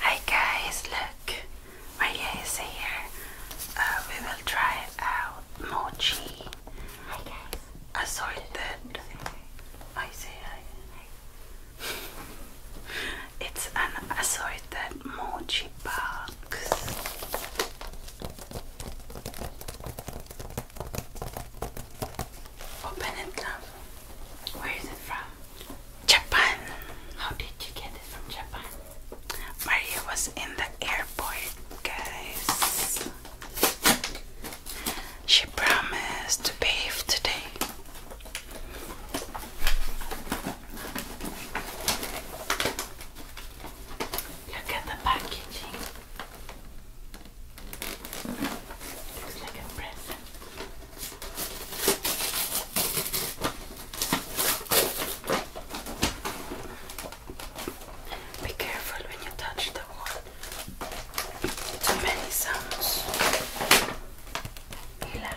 Hi guys, look, Maria is here. Uh, we will try out mochi. Hi guys. Assorted. I say hi. It's an assorted mochi box. Open it, love. Where is it from? Japan. How did you get it from Japan? Maria was in the airport, guys. She promised to bathe today. Look at the packaging. Looks like a present. Be careful when you touch the wall. Too many sounds. Relax.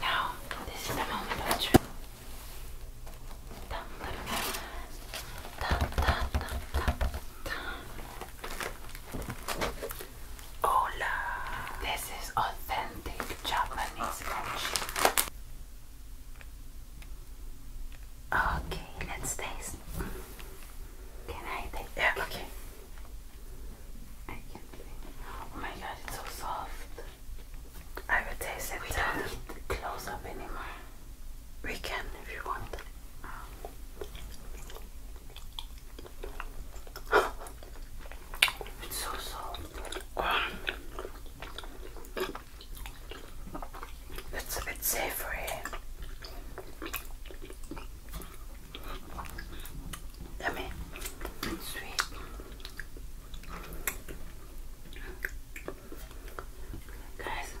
Now, this is the moment of truth. Hola! This is authentic Japanese kimchi. Okay, let's taste. Can I taste? Yeah, okay. I can't think. Oh my god, it's so soft. I will taste it. We don't uh, need close up anymore. We can if you want. Oh. it's so soft. Oh. It's a bit savory. I mean, sweet. Guys,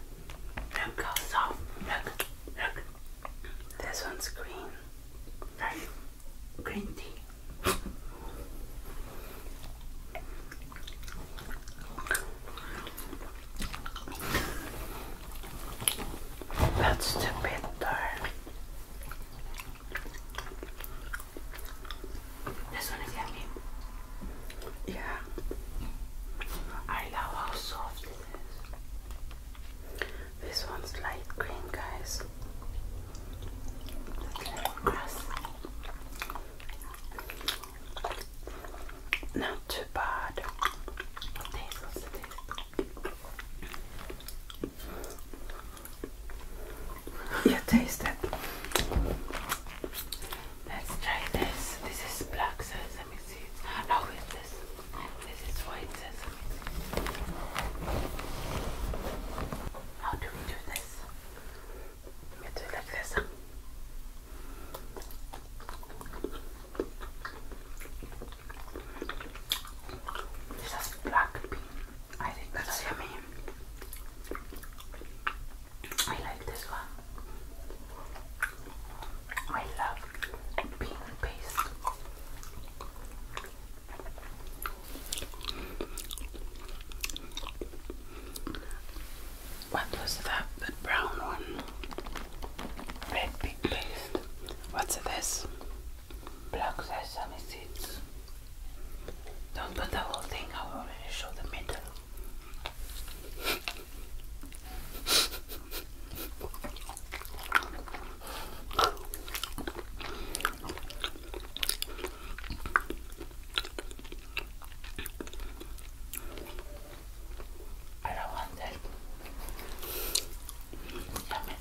look how Look, look. This one's green. Right? Green tea. That's too bitter. This one is yummy. Yeah. I love how soft it is. This one's light green, guys. Grass. Not too bad. You taste it. Let's try this. This is black sesame seeds. How is this? This is white sesame How do we do this? We do it like this. This has black bean. I think that's, I like this one. I love bean paste. What was that? The brown one? Red bean paste. What's this? Black some seeds. Don't put the whole thing, I will only show the middle. I don't want that.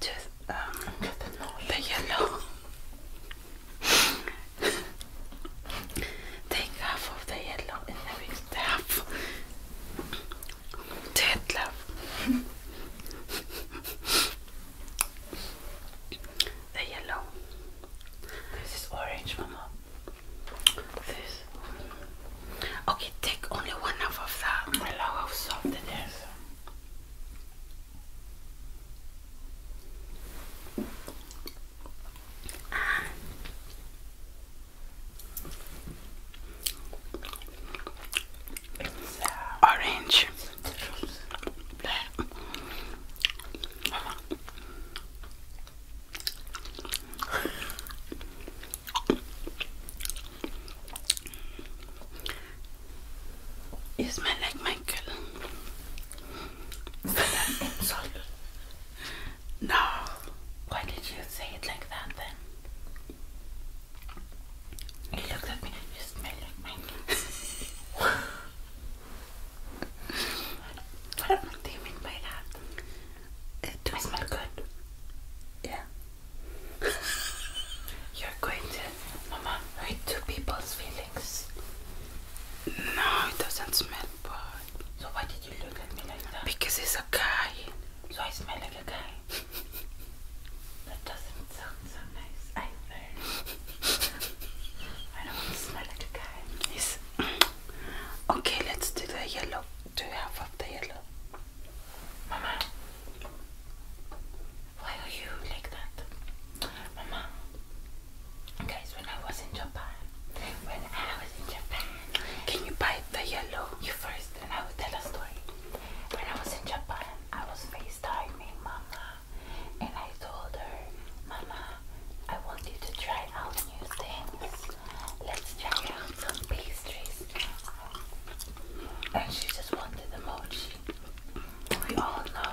Just um, the yellow. Take half of the yellow and the mixed Dead love. the yellow. This is orange, mama. This. Okay, take only one half of that. Allow how soft Orange. You smell like Michael. Is that an insult? No. Why did you say it like that then? He looked at me. You smell like Michael. what do you mean by that? It I smell good. Yeah. You're going to, Mama, hurt two people's feelings. No, it doesn't smell bad. So why did you look at me like that? Because he's a guy. So I smell like a guy. that doesn't sound so nice I don't want to smell like a guy. Yes. okay, let's do the yellow. Do half of the yellow. Mama. Why are you like that? Mama, guys, when I was in Japan, when I was in Japan, can you buy the yellow? You first, and I will tell a story. When I was in Japan, I was FaceTiming Mama, and I told her, Mama, I want you to try out new things. Let's try out some pastries. And she just wanted the mochi we all know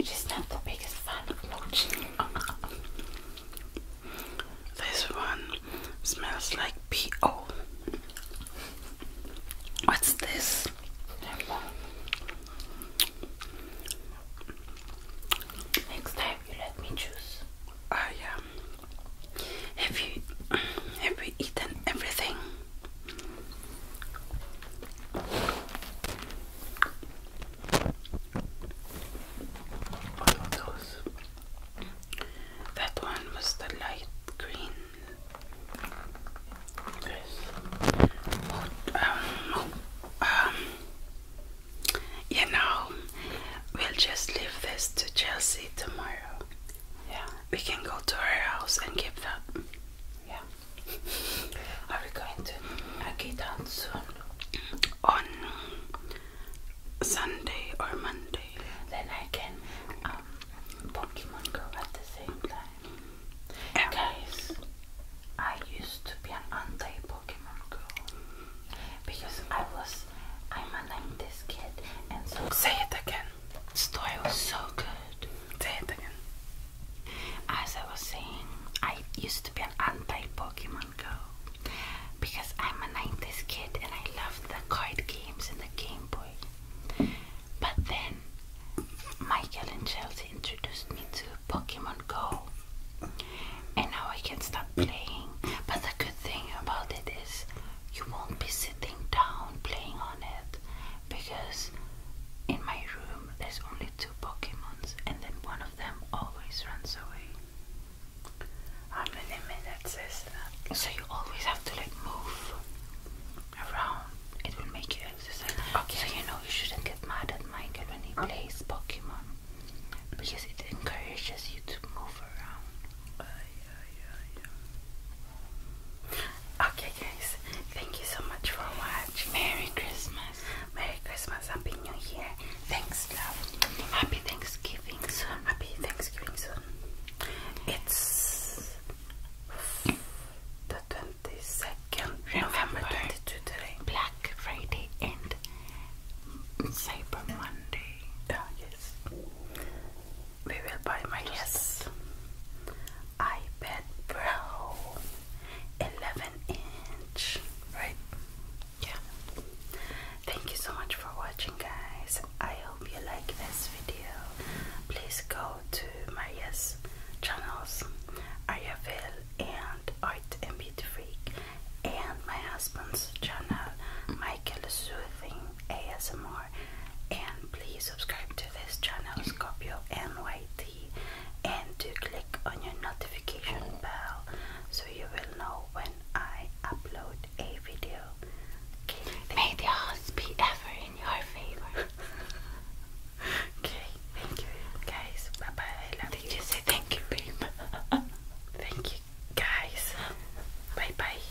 she's not the biggest fan of mochi. this one smells like P.O. What's this? Next time you let me choose. Oh yeah. Have you have we already eaten everything. What were That one was the light green. This. Um, um, you know, we'll just leave this to Chelsea tomorrow. Yeah. We can go to her house and keep that. Yeah. Are we going to get out soon? On Sunday or Monday? Then I can um, Pokemon Go at the same time. Guys, I used to be an anti-Pokemon Go because I was I'm a 90s kid and so say it again. The story was so good. Say it again. As I was saying, I used to be an anti-Pokemon Go because I'm a 90s kid and I loved the card games and the Game Boy. But then Michael and Chelsea introduced me to Pokemon Go. And now I can stop playing. But the good thing about it is you won't be sitting down playing on it because in my room there's only two Pokemons and then one of them always runs away. How many minutes is that? So you always have to like move around. It will make you exercise. Okay. So you know you shouldn't get mad at Michael when he plays Pokemon. Because it encourages you to move around. Okay, guys, thank you so much for watching. Merry Christmas. Merry Christmas. Happy New Year. Thanks, love. Happy Thanksgiving soon. Happy Thanksgiving soon. It's the 22nd, November 22 today. Black Friday and Cyber Monday. Oh, yes we will buy my yes iPad Pro 11 inch, right? Yeah. Thank you so much for watching, guys. I hope you like this video. Please go to my yes channels, Ariaville and Art and Beauty Freak, and my husband's channel, Michael Soothing ASMR. And please subscribe to this channel Scorpio NYT and to click on your notification bell so you will know when I upload a video. Okay, May the odds be ever in your favor. okay, thank you guys. Bye bye. Did you say thank you, babe? thank you guys. Bye bye.